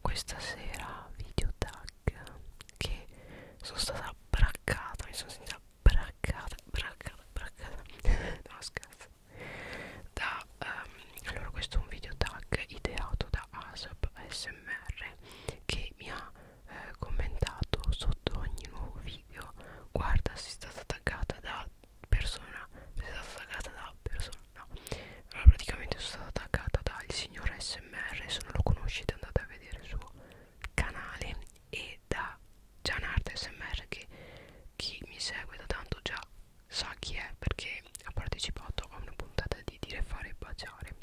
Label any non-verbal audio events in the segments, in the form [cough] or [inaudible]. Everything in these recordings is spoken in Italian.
questa sera video tag che sono stata braccata mi sono sentita braccata braccata braccata [laughs] no scherzo da um, allora questo è un video tag ideato da ASAP ASMR che mi ha eh, commentato sotto ogni nuovo video guarda sei stata attaccata da persona sei stata attaccata da persona no allora praticamente sono stata attaccata dal signor smr se non lo conoscete andate a vedere il suo canale e da Gianart smr che chi mi segue da tanto già sa chi è perché ha partecipato a una puntata di dire fare e baciare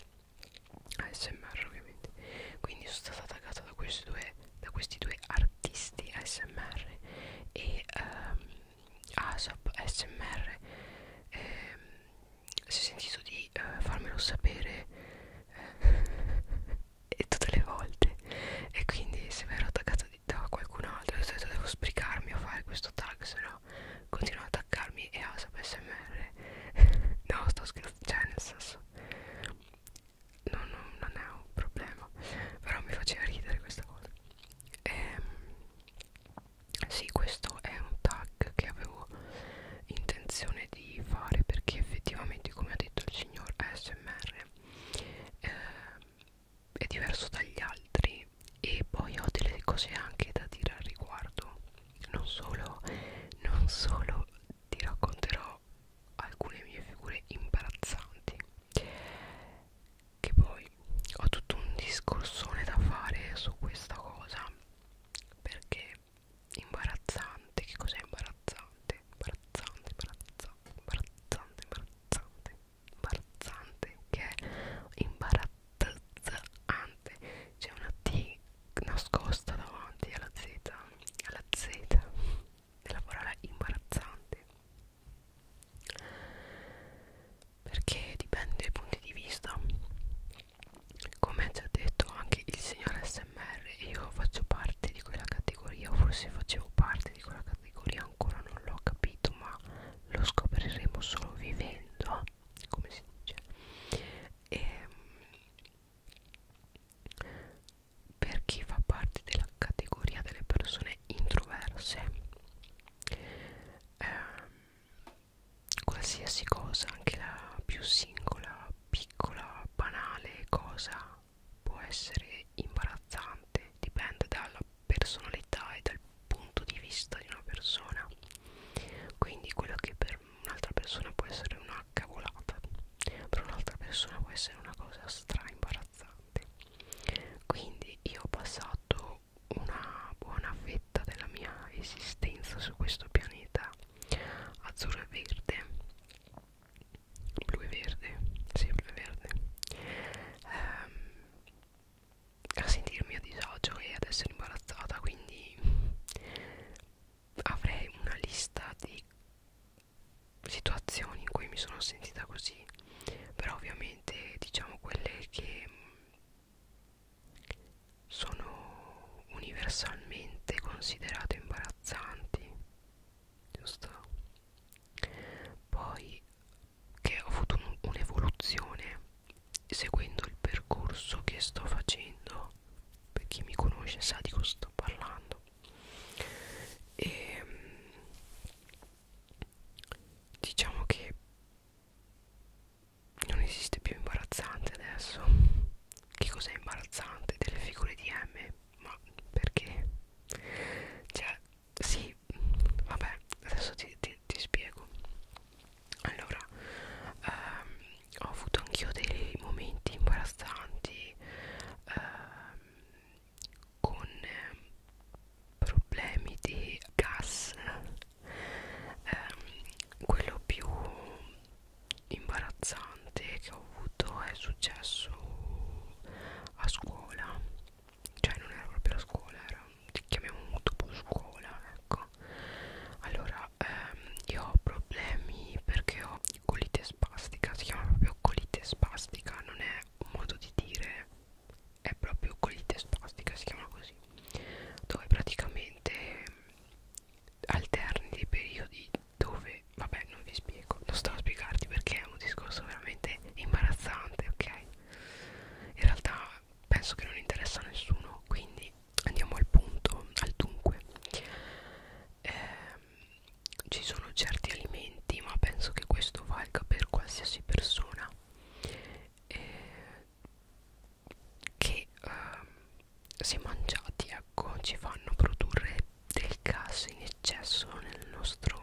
ASMR ovviamente quindi sono stata attaccata da questi due, da questi due artisti ASMR e ehm, ASAP SMR eh, si è sentito di eh, farmelo sapere eh, [laughs] tutte le volte e quindi se mi ero attaccata da qualcun altro ho detto devo sbrigarmi a fare questo tag se no continuo ad attaccarmi e ASAP SMR [laughs] no sto scherzando cioè nel senso no, no, non è un problema però mi faceva ridere questa cosa ehm sì questo è un tag che avevo intenzione di fare perché effettivamente come ha detto il signor ASMR eh, è diverso dagli altri e poi ho delle cose anche da dire al riguardo non solo, non solo ti racconterò alcune mie figure imbarazzanti che poi ho tutto un discorsone da fare su questa cosa perché imbarazzante che cos'è imbarazzante imbarazzante imbarazzante imbarazzante imbarazzante imbarazzante che è imbarazzante c'è una T nascosta davanti alla Z alla Z della parola imbarazzante perché dipende dai punti di vista come ci ha detto anche il signor smr io faccio parte di quella categoria o forse facevo parte di quella categoria ancora non l'ho capito ma lo scopriremo solo vivendo come si dice e, ehm, per chi fa parte della categoria delle persone introverse ehm, qualsiasi cosa, anche la più singola, piccola, banale cosa può essere imbarazzante, dipende dalla personalità e dal punto di vista di una persona. Quindi quello che per un'altra persona può essere una cavolata, per un'altra persona può essere una cosa stra imbarazzante. Quindi io ho passato una buona fetta della mia esistenza su questo pianeta azzurro e verde blu e verde sì blu e verde ehm, a sentirmi a disagio e ad essere imbarazzata quindi avrei una lista di situazioni in cui mi sono sentita così però ovviamente diciamo quelle che sono universalmente considerate imbarazzanti giusto poi che ho avuto un'evoluzione un seguendo il percorso che sto facendo per chi mi conosce sa di cosa sto parlando e ehm, diciamo che non esiste più imbarazzante adesso che cos'è imbarazzante delle figure di M ma perché cioè sì vabbè adesso ti, ti, ti spiego allora ehm, ho avuto anch'io dei momenti imbarazzanti ehm, con ehm, problemi di gas eh, quello più imbarazzante che ho avuto è successo a scuola cioè non era proprio la scuola era chiamiamo dopo scuola ecco allora ehm, io ho problemi perché ho colite spastica si chiama proprio colite spastica non è un modo di dire è proprio colite spastica si chiama così dove praticamente alterni dei periodi dove vabbè non vi spiego non sto a spiegarti perché è un discorso veramente imbarazzante ok in realtà penso che non interessa a nessuno quindi andiamo al punto al dunque eh, ci sono certi alimenti ma penso che questo valga per qualsiasi persona eh, che ehm, se mangiati ecco ci fanno produrre del gas in eccesso nel nostro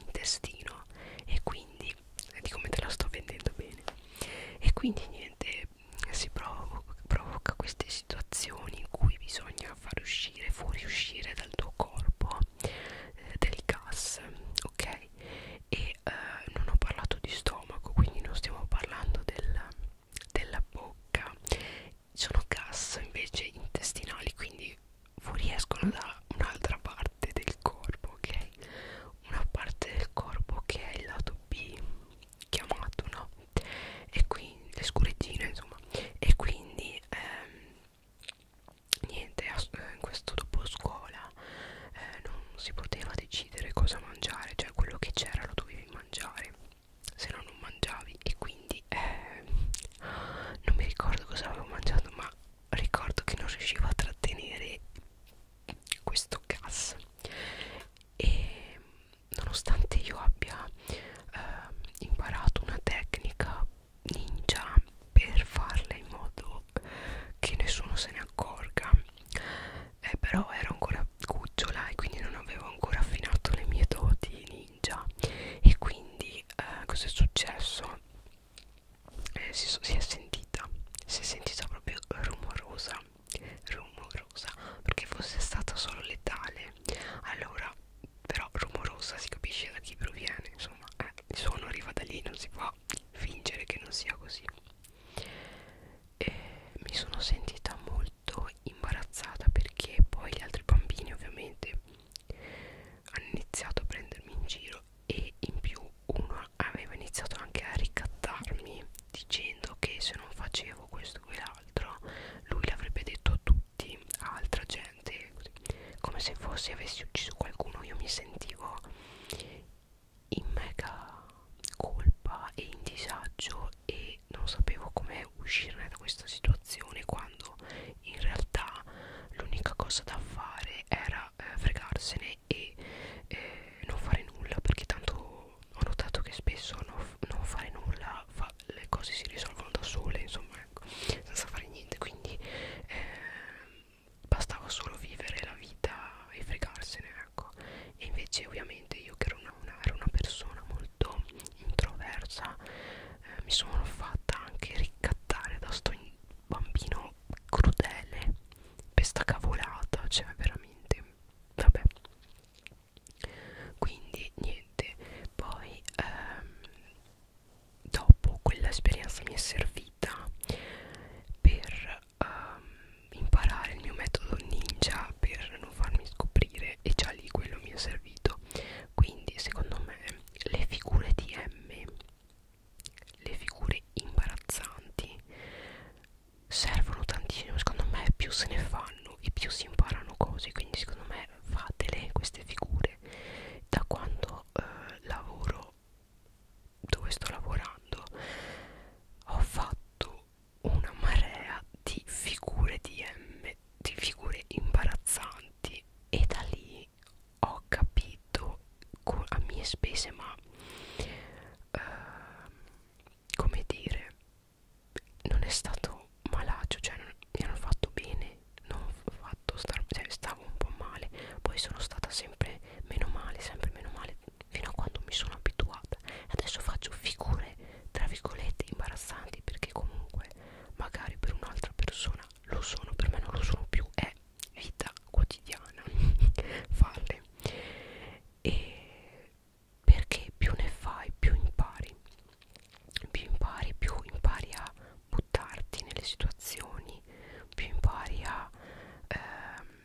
intestino e quindi di come te la sto vendendo bene e quindi niente si provoca, provoca queste situazioni in cui bisogna far uscire fuoriuscire dal tuo corpo eh, del gas ok e e eh, non ho parlato di stomaco quindi non stiamo parlando del, della bocca sono gas invece intestinali quindi fuoriescono da un'altra parte del corpo ok una parte del corpo che è il lato B chiamato no e quindi le scurettine insomma e quindi ehm, niente eh, in questo dopo scuola eh, non si poteva decidere cosa mangiare cioè quello che c'era lo dovevi mangiare se no non mangiavi e quindi eh, non mi ricordo cosa avevo mangiato ma ricordo che non riuscivo a trattenere questo gas e nonostante io abbia eh, imparato una tecnica ninja per farla in modo che nessuno se ne accorga eh, però ero ancora cucciola e quindi non avevo ancora affinato le mie doti ninja e quindi eh, cosa è successo? Eh, si, so, si è sentita si è sentita proprio rumorosa rumorosa perché fosse stata solo letale allora però rumorosa si capisce da chi proviene insomma eh, il suono arriva da lì non si può ma fingere che non sia così e mi sono sentita molto imbarazzata perché poi gli altri bambini ovviamente hanno iniziato a prendermi in giro e in più uno aveva iniziato anche a ricattarmi dicendo che se non facevo questo o quell'altro lui l'avrebbe detto a tutti, a altra gente così. come se fosse avessi ucciso qualcuno io mi sentivo in mega colpa e in disagio e non sapevo come uscirne da questa situazione quando in realtà l'unica cosa da fare era eh, fregarsene e eh, non fare nulla perché tanto ho notato che spesso non, non fare nulla fa, le cose si risolvono da sole insomma ecco senza fare niente quindi eh, bastava solo vivere la vita e fregarsene ecco e invece ovviamente io che ero una, una, ero una persona molto introversa eh, mi sono fatta anche ricattare da sto bambino crudele per sta cavolata cioè veramente vabbè quindi niente poi ehm, dopo quell'esperienza mi è servita per um, imparare il mio metodo ninja per non farmi scoprire e già lì quello mi è servito quindi secondo me le figure di M le figure imbarazzanti servono tantissimo secondo me più se ne fanno e più si imparano cose quindi secondo me fatele queste figure da quando eh, lavoro dove sto lavorando ho fatto una marea di figure DM, di figure imbarazzanti e da lì ho capito a mie spese ma uh, come dire non è stato malaccio cioè non, mi hanno fatto bene non ho fatto star, cioè, stavo un po' male poi sono stata sempre meno male sempre meno male fino a quando mi sono abituata adesso faccio figure tra virgolette imbarazzanti perché comunque magari per un'altra persona lo sono per me non lo sono più è vita quotidiana [laughs] farle e perché più ne fai più impari più impari più impari a buttarti nelle situazioni più impari a ehm,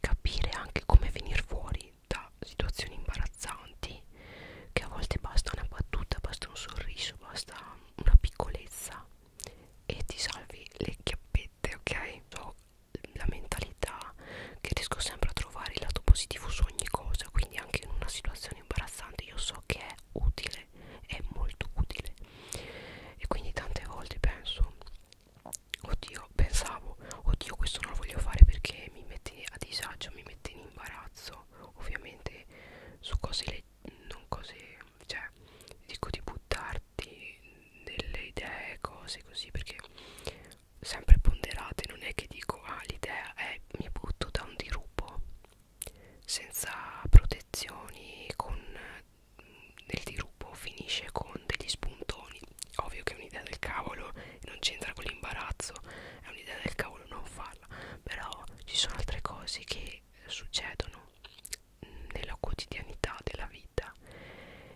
capire anche come venire fuori da situazioni imbarazzanti che a volte basta una battuta, basta un sorriso, basta una piccolezza e ti salvi le chiappette, ok? So la mentalità che riesco sempre a trovare il lato positivo su ogni cosa, quindi anche in una situazione imbarazzante io so che è utile, è molto utile e quindi tante volte penso oddio pensavo oddio questo non lo voglio fare perché mi mette a disagio mi mette in imbarazzo ovviamente su cose leggere non cose, cioè dico di buttarti nelle idee, cose così perché sempre ponderate, non è che dico ah l'idea è mi butto da un dirupo senza protezioni, con nel dirupo finisce con degli spuntoni ovvio che è un'idea del cavolo non c'entra con l'imbarazzo è un'idea del cavolo non farla però ci sono altre cose che succedono nella quotidianità della vita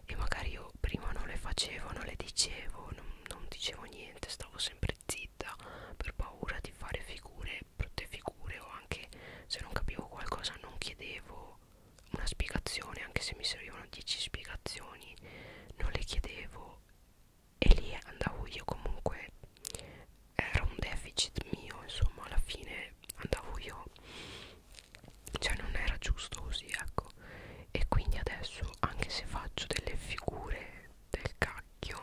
e magari io prima non le facevo non le dicevo non, non dicevo niente stavo sempre zitta per paura di fare figure brutte figure o anche se non capivo qualcosa non chiedevo una spiegazione anche se mi servivano 10 spiegazioni non le chiedevo e lì andavo io comunque era un deficit mio insomma alla fine andavo io cioè non era giusto così ecco e quindi adesso anche se faccio delle figure del cacchio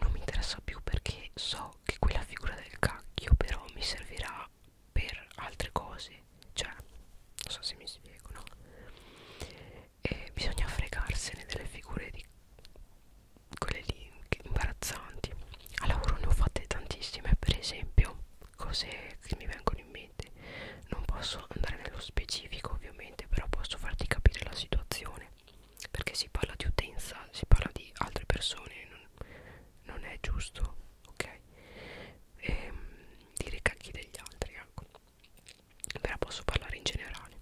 non mi interessa più perché so che quella figura del cacchio però mi servirà per altre cose cioè non so se mi spiego no e bisogna fregarsene delle figure di quelle lì imbarazzanti a lavoro ne ho fatte tantissime per esempio cose che mi vengono in mente non posso andare nello specifico ovviamente però posso farti capire la situazione perché si parla di utenza si parla di altre persone non, non è giusto, ok? E, ehm, dire cacchi degli altri, ecco. Ve la posso parlare in generale.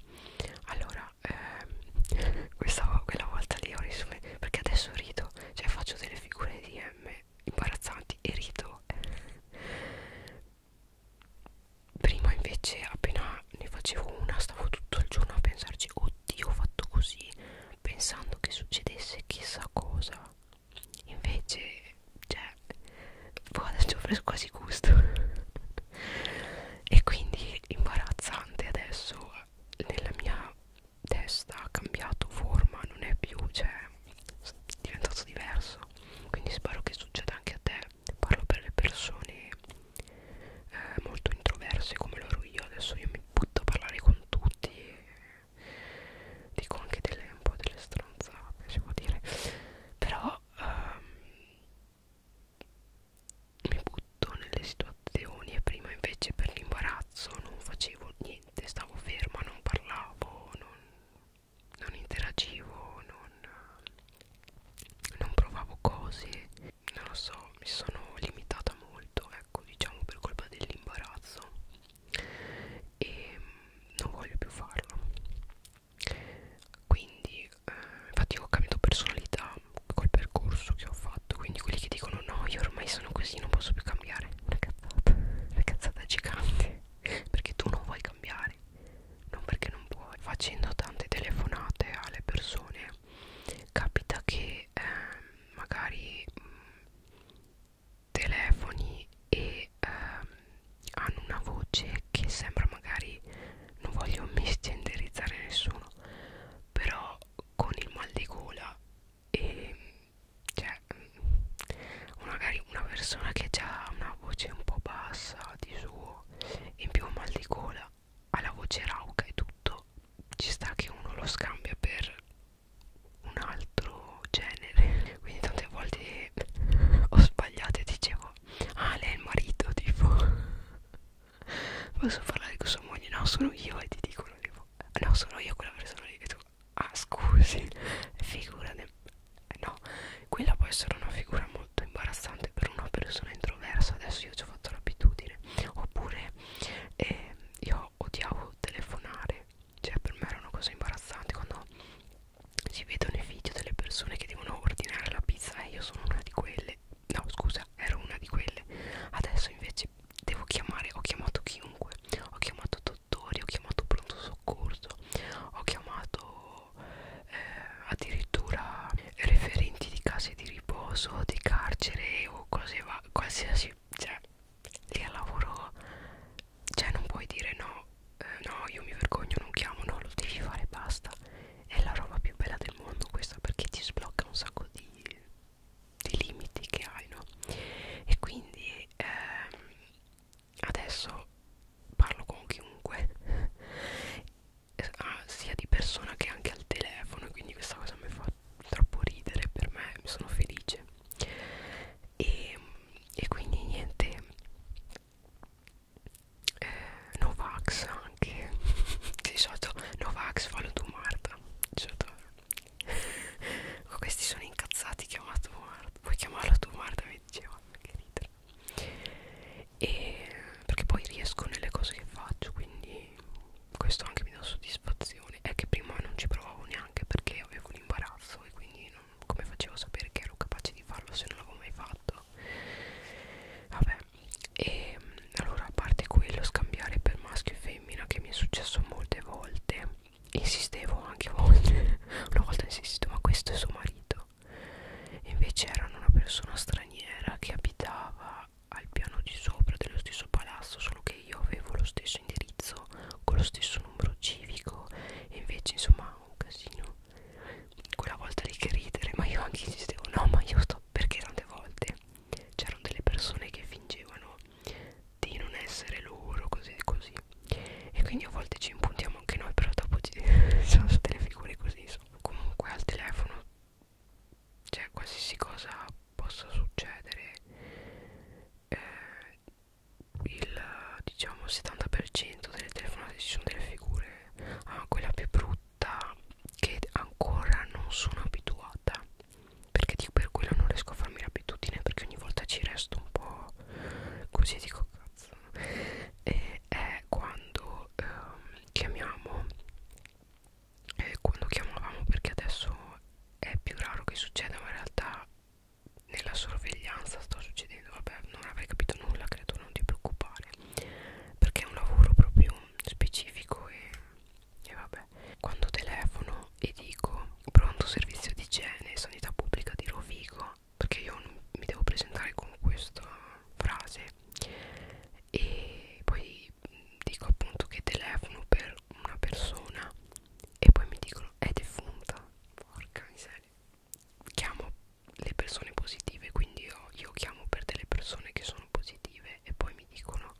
Allora, eh, [laughs] questa, quella volta lì ho riso perché adesso rido, cioè faccio delle figure di M imbarazzanti e rido. Prima invece appena ne facevo una stavo tutto il giorno a pensarci, oddio ho fatto così, pensando che succedesse chissà cosa invece cioè boh, adesso ho preso quasi gusto [laughs] e quindi imbarazzante adesso nella mia testa ha cambiato forma non è più cioè è diventato diverso quindi spero che succeda anche a te parlo per le persone eh, molto introverse come lo ero io adesso io mi butto a parlare con tutti dico anche delle, un po' delle stronzate si può dire però um, mi butto nelle situazioni e prima invece per l'imbarazzo non facevo niente stavo ferma non parlavo non, non interagivo non, non provavo cose non lo so mi sono limitata molto molto ecco diciamo per colpa dell'imbarazzo e mm, non voglio più farlo quindi eh, infatti ho cambiato personalità col percorso che ho fatto quindi quelli che dicono no io ormai sono così non posso più cambiare una cazzata una cazzata gigante perché tu non vuoi cambiare non perché non puoi facendo tante telefonate alle persone capita che eh, magari mh, mm, telefoni e ehm, hanno una voce che sembra magari non voglio [laughs] misgenderizzare nessuno però con il mal di gola e cioè mm, magari una persona che ha una voce un po' bassa di suo in più mal di gola ha la voce rauca e tutto ci sta che uno lo scambia per un altro genere quindi tante volte ho sbagliato e dicevo ah lei è il marito tipo posso parlare con sua moglie no sono io e ti dicono tipo no sono io quella persona lì e tu ah scusi figura no quella può essere una figura molto imbarazzante per una persona introversa adesso io ci ho fatto l'abitudine oppure eh, io io odiavo telefonare cioè per me era una cosa imbarazzante quando si vedono i video delle persone che devono ordinare la pizza e io sono una di quelle no scusa ero una di quelle adesso invece devo chiamare ho chiamato chiunque ho chiamato dottori ho chiamato pronto soccorso ho chiamato eh, addirittura referenti di case di riposo di carcere o cose va qualsiasi cioè lì al lavoro cioè non puoi dire no eh, no io mi vergogno non chiamo no lo devi fare basta è la roba più bella del mondo questa perché ti sblocca un sacco di, di limiti che hai no e quindi ehm, adesso parlo con chiunque [laughs] ah, sia di persona che anche al telefono quindi questa cosa mi fa troppo ridere per me, sono felice e, e quindi niente eh, Novax anche di [laughs] solito Novax fallo tu Marta questi sono incazzati chiamato Marta puoi chiamarla tu Marta mi diceva che ridere e perché poi riesco nelle cose che faccio quindi e questo anche mi dà soddisfazione è che prima non ci provavo neanche perché avevo l'imbarazzo e quindi non, come facevo a sapere che ero capace di farlo se non l'avevo mai fatto vabbè e ehm, allora a parte quello scambiare per maschio e femmina che mi è successo molte volte insistevo anche a volte [laughs] una volta insisto ma questo è suo marito e invece erano una persona straniera che abitava al piano di sopra dello stesso palazzo solo che io avevo lo stesso indirizzo con lo stesso numero civico e invece insomma un casino quella volta lì che ridere ma io anche insistevo no ma io sto perché tante volte c'erano delle persone che fingevano di non essere loro così e così e quindi a volte ci impuntiamo anche noi però dopo ci [laughs] sono delle figure così insomma comunque al telefono cioè qualsiasi cosa possa succedere eh, il diciamo 70% delle telefonate ci sono delle figure ah, quella più brutta che ancora non sono abituata perché dico, per quello non riesco a farmi l'abitudine perché ogni volta ci resto un po' così dico cazzo e è quando ehm, chiamiamo eh, quando chiamavamo perché adesso è più raro che succeda ma in realtà nella sorveglianza sta succedendo vabbè non avrei capito nulla credo non ti preoccupare perché è un lavoro proprio specifico e, e vabbè quando telefono e dico pronto servizio di igiene e sanità pubblica di Rovigo perché io mi devo presentare con questa frase e poi dico appunto che telefono per una persona e poi mi dicono è defunta porca miseria chiamo le persone positive quindi io, io chiamo per delle persone che sono positive e poi mi dicono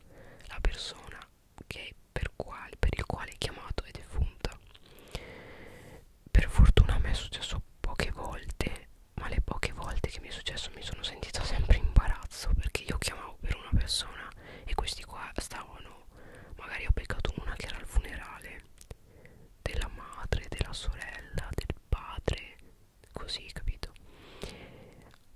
la persona che per, quale, per il quale è chiamato è defunta per fortuna a me è successo poche volte ma le poche volte che mi è successo mi sono sentita [laughs] sempre in imbarazzo perché io chiamavo per una persona e questi qua stavano no magari ho beccato una che era al funerale della madre della sorella del padre così capito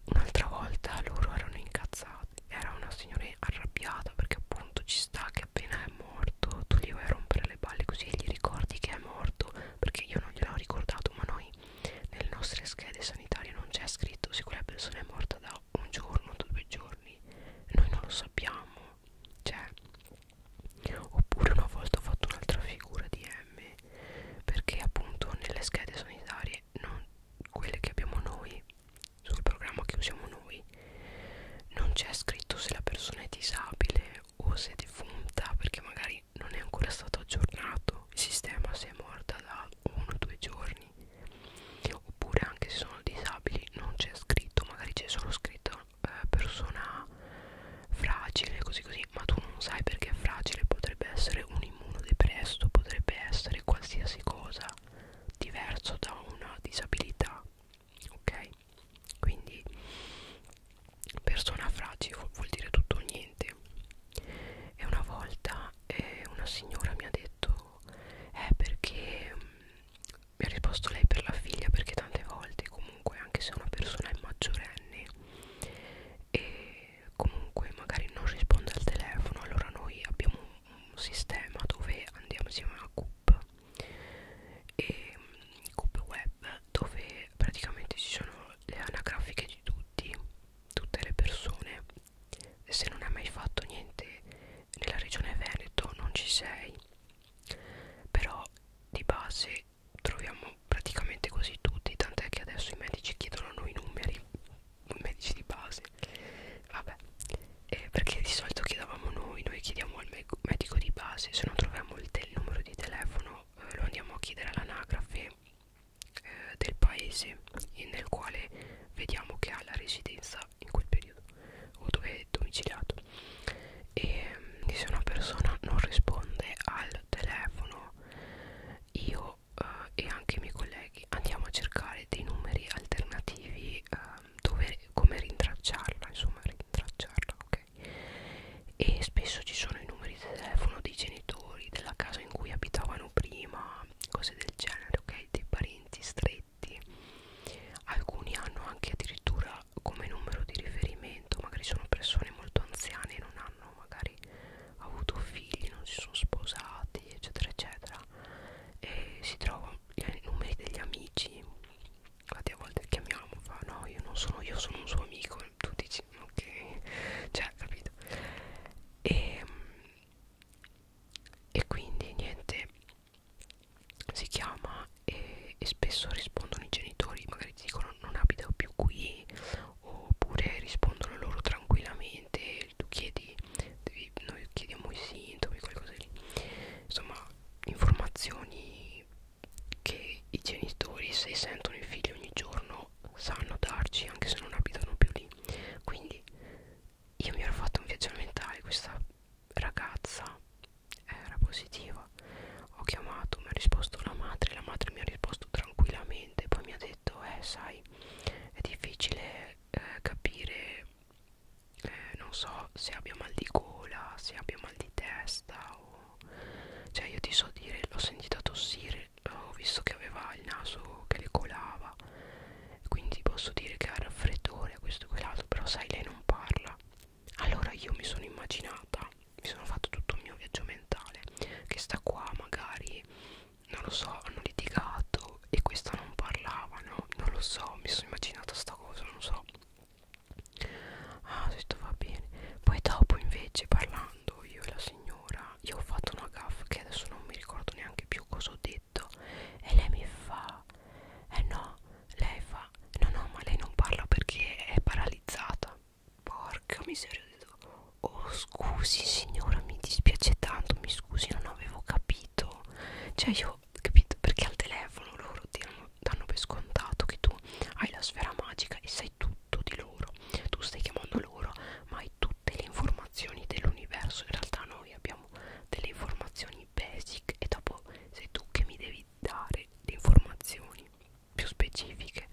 un'altra volta loro erano incazzati era una signora arrabbiata perché appunto ci sta che appena è morto tu gli vai a rompere le balle così gli ricordi che è morto perché io non gliel'ho ricordato ma noi nelle nostre schede sanitarie non c'è scritto se quella persona è morta da un giorno, due giorni, noi non lo sappiamo, cioè, oppure una volta ho fatto un'altra figura di M, perché appunto nelle schede sanitarie, non, quelle che abbiamo noi, sul programma che usiamo noi, non c'è scritto se la persona è disabile o se è defunta, perché magari non è ancora stato aggiornato, il sistema se è morta da uno o due giorni oppure anche se sono disabili non c'è scritto magari c'è solo scritto eh, persona fragile così così ma tu non sai perché è fragile potrebbe essere un immunodepresso potrebbe essere qualsiasi cosa diverso da una disabilità ok quindi persona fragile vuol, vuol dire tutto o niente e una volta eh, una signora mi ha detto risposto eh, è perché mm, mi ha risposto lei per la figlia perché tante volte comunque anche se una persona è maggiorenne e comunque magari non risponde al telefono allora noi abbiamo un, un sistema dove andiamo insieme a CUP e mm, CUP web dove praticamente ci sono le anagrafiche di tutti tutte le persone se non hai mai fatto niente nella regione Veneto non ci sei però di base troviamo praticamente così tutti tant'è che adesso i medici chiedono a noi numeri i medici di base vabbè eh, perché di solito chiedevamo noi noi chiediamo al me medico di base se non troviamo il, il numero di telefono eh, lo andiamo a chiedere all'anagrafe eh, del paese nel quale vediamo che ha la residenza viveva in quel periodo o dove è domiciliato e mm, se una persona non risponde al telefono io eh, e anche i miei colleghi andiamo a cercare dei numeri alternativi eh, dove, come rintracciarla insomma rintracciarla ok e spesso ci sono i numeri di telefono dei genitori della casa in cui abitavano prima cose del genere ok dei parenti stretti paletti alcuni hanno anche addirittura come numero di riferimento magari sono persone molto anziane non hanno magari avuto figli non si sono sposati eccetera eccetera e si trovano i numeri degli amici infatti a volte chiamiamo fa no io non sono io sono un suo amico tu dici ok [laughs] cioè capito e ehm, e quindi niente si chiama e, e spesso rispondono i genitori magari ti dicono non abita più qui oppure rispondono loro tranquillamente tu chiedi devi, noi chiediamo i sintomi qualcosa lì insomma informazioni che i genitori se sentono i figli ogni giorno sanno darci anche se non abitano più lì quindi io mi ero fatto un viaggio mentale questa ragazza era positiva ho chiamato mi ha risposto la madre la madre mi ha risposto tranquillamente poi mi ha detto eh sai è difficile eh, capire eh, non so se abbia mal di gola se abbia mal di testa o cioè io ti so dire l'ho sentita tossire ho visto che aveva il naso che le colava quindi posso dire che ha raffreddore questo e quell'altro però sai lei non parla allora io mi sono immaginata mi sono fatto tutto il mio viaggio mentale che sta qua magari non lo so hanno litigato e questa non parlava no non lo so mi sono immaginata sta cosa non so ah questo va bene poi dopo invece parlando io e la signora io ho fatto una gaffa che adesso non mi ricordo neanche più cosa ho detto letto e lei mi fa eh no lei fa no no ma lei non parla perché è paralizzata porca miseria oh scusi signora mi dispiace tanto mi scusi non avevo capito cioè io capito perché al telefono loro ti danno per scontato che tu hai la sfera magica e sai tutto di loro tu stai chiamando loro ma hai tutte le informazioni dell'universo in realtà noi abbiamo abbiamo delle informazioni basic e dopo sei tu che mi devi dare le informazioni più specifiche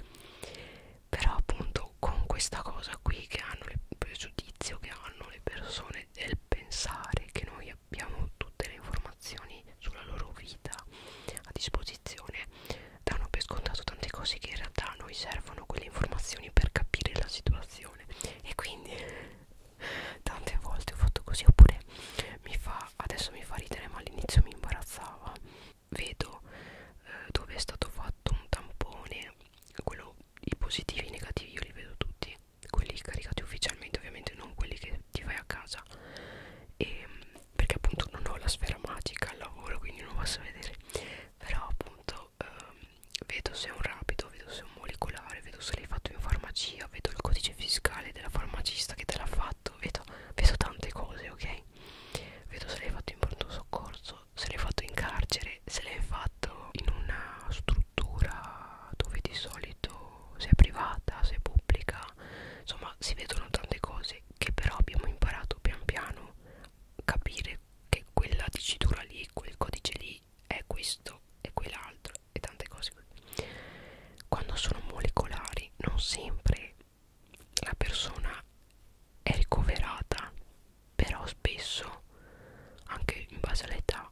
però appunto con questa cosa qui che hanno il pregiudizio che hanno le persone del pensare che noi abbiamo tutte le informazioni sulla loro vita a disposizione danno per scontato tante cose che in realtà a noi servono quelle informazioni per capire la situazione e quindi tante volte ho fatto così oppure mi fa adesso mi fa ridere ma all'inizio mi imbarazzava vedo eh, dove è stato fatto un tampone quello, i positivi e i negativi io li vedo tutti quelli caricati ufficialmente ovviamente non quelli che ti fai a casa e, ehm, perché appunto non ho la sfera magica al lavoro quindi non posso vedere però appunto ehm, vedo se è un rapido, vedo se è un molecolare, vedo se l'hai fatto in farmacia, vedo il codice fiscale della farmacista che te l'ha fatto, vedo, vedo tante cose, ok? Vedo se l'hai fatto in pronto soccorso, se l'hai fatto in carcere, se l'hai fatto in una struttura dove di solito se è privata, se è pubblica, insomma si vedono tante cose che però abbiamo imparato pian piano capire che quella dicitura lì, quel codice lì è questo e quell'altro e tante cose così. Quando sono molecolari non sempre la persona è ricoverata, però spesso, anche in base all'età,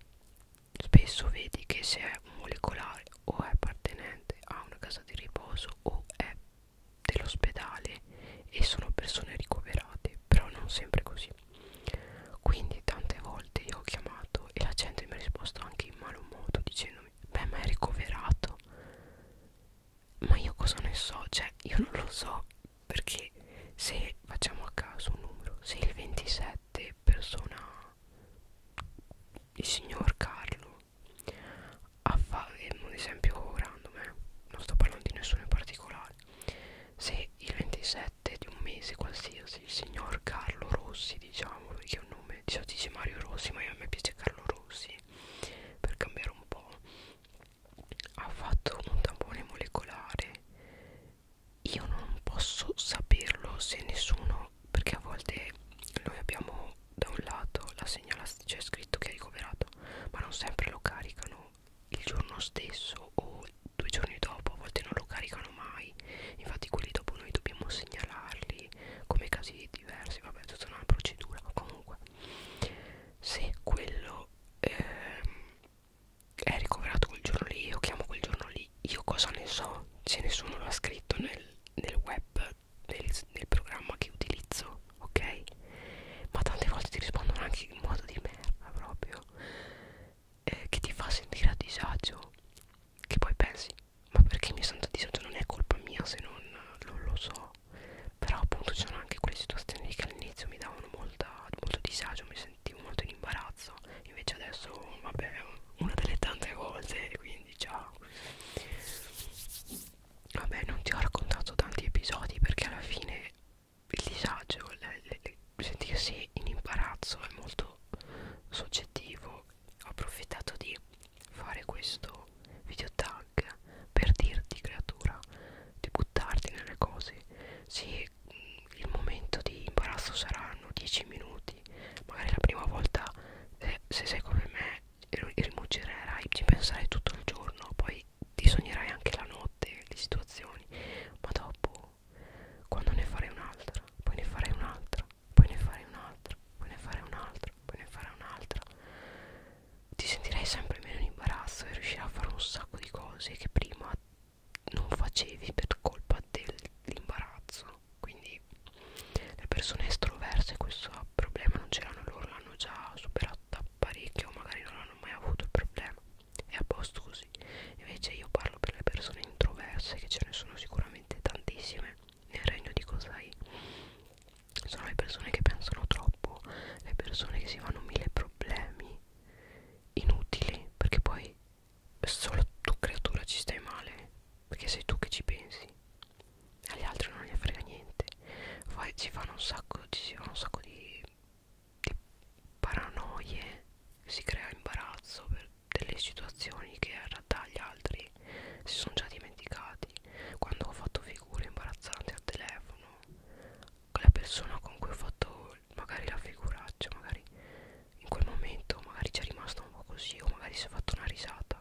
spesso vedi che se è un molecolare o è appartenente a una casa di riposo o è dell'ospedale e sono persone ricoverate, però non sempre così. Quindi tante volte io ho chiamato e la gente mi ha risposto anche in malo modo dicendomi beh ma è ricoverato ma io cosa ne so? Cioè io non lo so perché se facciamo a caso un numero se il 27 persona il signor Carlo ha fatto eh, un esempio random eh? non sto parlando di nessuno in particolare se il 27 7 di un mese qualsiasi il signor Carlo Rossi diciamo perché è un nome diciamo dice Mario Rossi ma a me piace Carlo Rossi per cambiare un po' ha fatto un tampone molecolare io non posso saperlo se nessuno perché a volte noi abbiamo da un lato la segnalazione, cioè scritto che è ricoverato, ma non sempre lo caricano il giorno stesso o due giorni dopo a volte non lo caricano mai infatti quelli dopo noi dobbiamo segnalarli come casi diversi vabbè tutta una procedura comunque se quello ehm, è ricoverato quel giorno lì io chiamo quel giorno lì io cosa ne so se nessuno l'ha scritto nel, nel web nel, nel programma che utilizzo ok ma tante volte ti rispondono anche in modo di merda proprio eh, che ti fa sentire a disagio che poi pensi ma perché mi sento a disagio non è colpa mia se non, non lo so però appunto c'erano anche quelle situazioni che all'inizio mi davano molta, molto disagio mi sentivo molto in imbarazzo invece adesso vabbè una delle tante volte quindi ciao vabbè non ti ho raccontato tanti episodi perché alla fine il disagio, le, le, le, sentirsi in imbarazzo è molto soggettivo. Ho approfittato di fare questo video tag per dirti, creatura, di buttarti nelle cose. Sì, mm, il momento di imbarazzo saranno 10 minuti, magari la prima volta, eh, se sei come me, rimuginerai, ci penserai tutto il giorno, poi ti sognerai anche la notte, le situazioni, ma dopo quando ne farei un'altra, poi ne farei un'altra, poi ne farei un'altra, poi ne farei un'altra, poi ne farei un'altra, ti sentirei sempre meno in imbarazzo e riuscirai a fare un sacco di cose che prima non facevi per colpa dell'imbarazzo. Quindi le persone estroverse questo problema non ce l'hanno loro, l'hanno già superato da parecchio, magari non hanno mai avuto il problema è a posto così invece io parlo per le persone introverse che ce ne sono sicuramente tantissime nel regno di Cosai sono le persone che pensano troppo le persone che si fanno mille problemi inutili perché poi solo tu creatura ci stai male perché sei tu che ci pensi agli altri non gli frega niente Fai, si fanno un sacco ci si fanno un sacco di di paranoie si crea imbarazzo per delle situazioni che in realtà gli altri si sono già dimenticati quando ho fatto figure imbarazzanti al telefono la persona con cui ho fatto magari la figuraccia magari in quel momento magari ci è rimasta un po' così o magari si è fatta una risata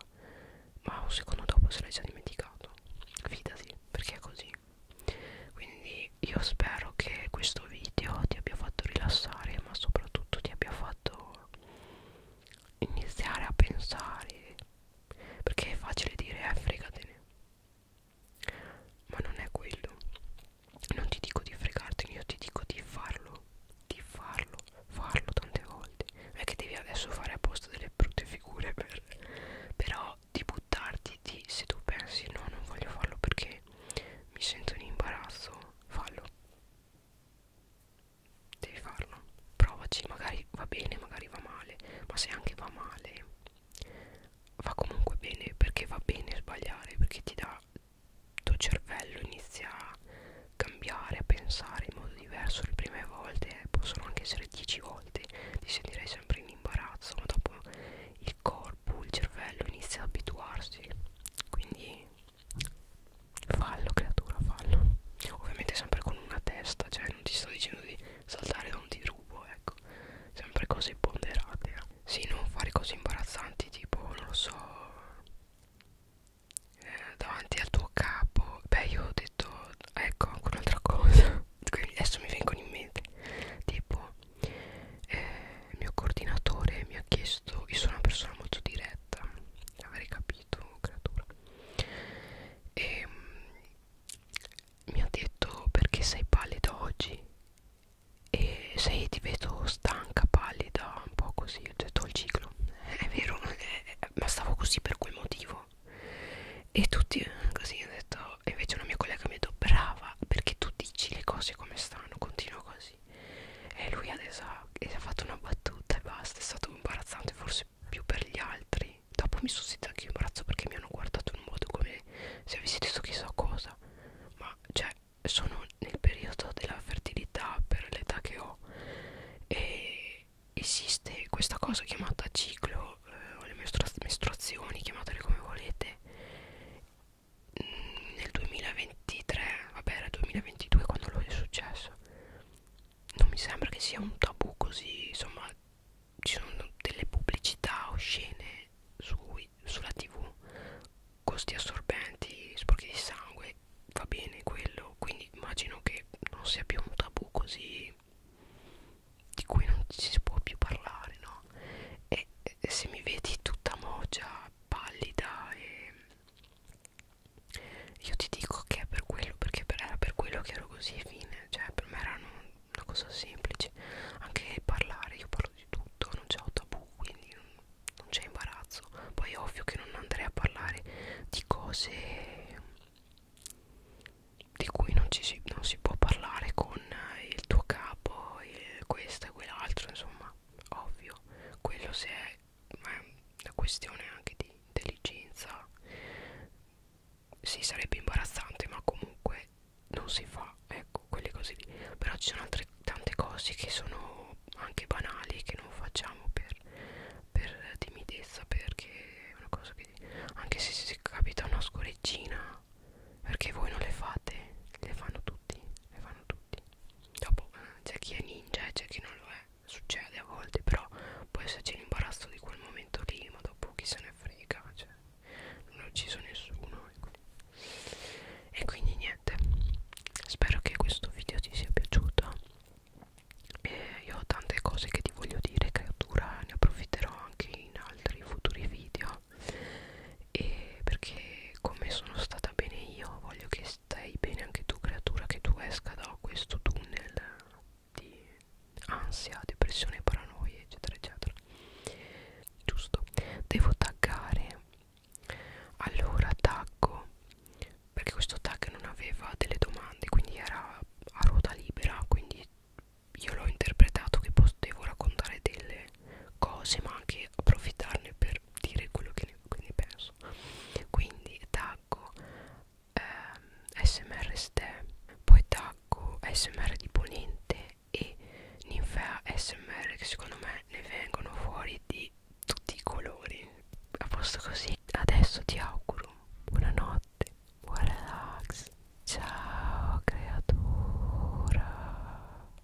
ma un secondo dopo se l'hai già dimenticato fidati perché è così quindi io spero che questo video ti abbia fatto rilassare ma soprattutto ti abbia fatto iniziare a pensare perché è facile dire eh fregatene ma non è quello non ti dico di fregartene io ti dico di farlo di farlo farlo tante volte non è che devi adesso fare apposta delle brutte figure per, però di buttarti di se tu pensi no non voglio farlo perché mi sento in imbarazzo fallo devi farlo provaci magari va bene magari va male ma se anche va male va comunque bene perché va bene sbagliare perché ti dà il tuo cervello inizia a cambiare a pensare in modo diverso le prime volte eh, possono anche essere 10 volte ti sentirai sempre in imbarazzo ma dopo il corpo, il cervello inizia ad abituarsi quindi fallo creatura fallo ovviamente sempre con una testa cioè non ti sto dicendo di saltare da un dirubo ecco sempre cose ponderate eh. sì non fare cose imbarazzanti tipo non lo so eh, davanti al tuo capo beh io ho detto ecco ancora un'altra cosa [laughs] quindi adesso mi vengono in mente tipo eh, il mio coordinatore mi ha chiesto io sono una persona molto diretta avrei capito creatura e ehm, mh, mi ha detto perché sei pallida oggi e sei ti vedo stanca pallida un po' così ho detto il ciclo [laughs] è vero è, [laughs] ma stavo così per quel motivo e tutti eh, così ho detto e invece una mia collega mi ha detto brava perché tu dici le cose come stanno continua così e lui adesso ha, ha fatto una battuta e basta, è stato imbarazzante forse più per gli altri dopo mi sono sentita anche imbarazzo perché mi hanno guardato in un modo come se avessi detto chissà cosa ma cioè sono nel periodo della fertilità per l'età che ho e esiste questa cosa chiamata ciclo eh, o le mestrua menstruazioni chiamatele come volete Mm, nel 2023, vabbè era 2022 quando lo è successo, non mi sembra che sia un tabù così, insomma ci sono delle pubblicità oscene sui, sulla tv, costi assorbenti, sporchi di sangue, va bene quello, quindi immagino che non sia più un tabù così di cui non si può più parlare, no? E, e se mi vedi tutta mogia pallida e io ti dico che è per quello perché per, era per quello che ero così fine cioè per me erano una cosa semplice anche parlare io parlo di tutto non c'ho tabù quindi non, non c'è imbarazzo poi è ovvio che non andrei a parlare di cose di cui non, ci si, non si può parlare con il tuo capo il questo e quell'altro insomma ovvio quello se è una questione anche di intelligenza sì sarebbe imbarazzante ma comunque non si fa ecco quelle cose lì però ci sono altre tante cose che sono anche banali che non facciamo per, per timidezza perché è una cosa che anche se si capita una scoreggina perché voi non le fate le fanno tutti le fanno tutti tutti dopo c'è chi è ninja e c'è chi non lo è succede a volte però può esserci l'imbarazzo di quel momento lì ma dopo chi se ne frega cioè non ho ucciso nessuno e ecco. quindi, e quindi niente spero che questo video ti sia piaciuto e io ho tante cose che ti voglio dire creatura ne approfitterò anche in altri futuri video e perché come sono stata bene io voglio che stai bene anche tu creatura che tu esca da questo tunnel di ansia, depressione, paranoia eccetera eccetera giusto devo taggare allora taggo perché questo tag non aveva delle domande quindi era a ruota libera quindi io l'ho interpretato che potevo raccontare delle cose ma anche approfittarne per per dire quello che ne penso quindi taggo ehm, smr ste poi taggo smr di ponente e ninfea smr che secondo me ne vengono fuori di tutti i colori a posto così adesso ti auguro buonanotte buon relax ciao creatura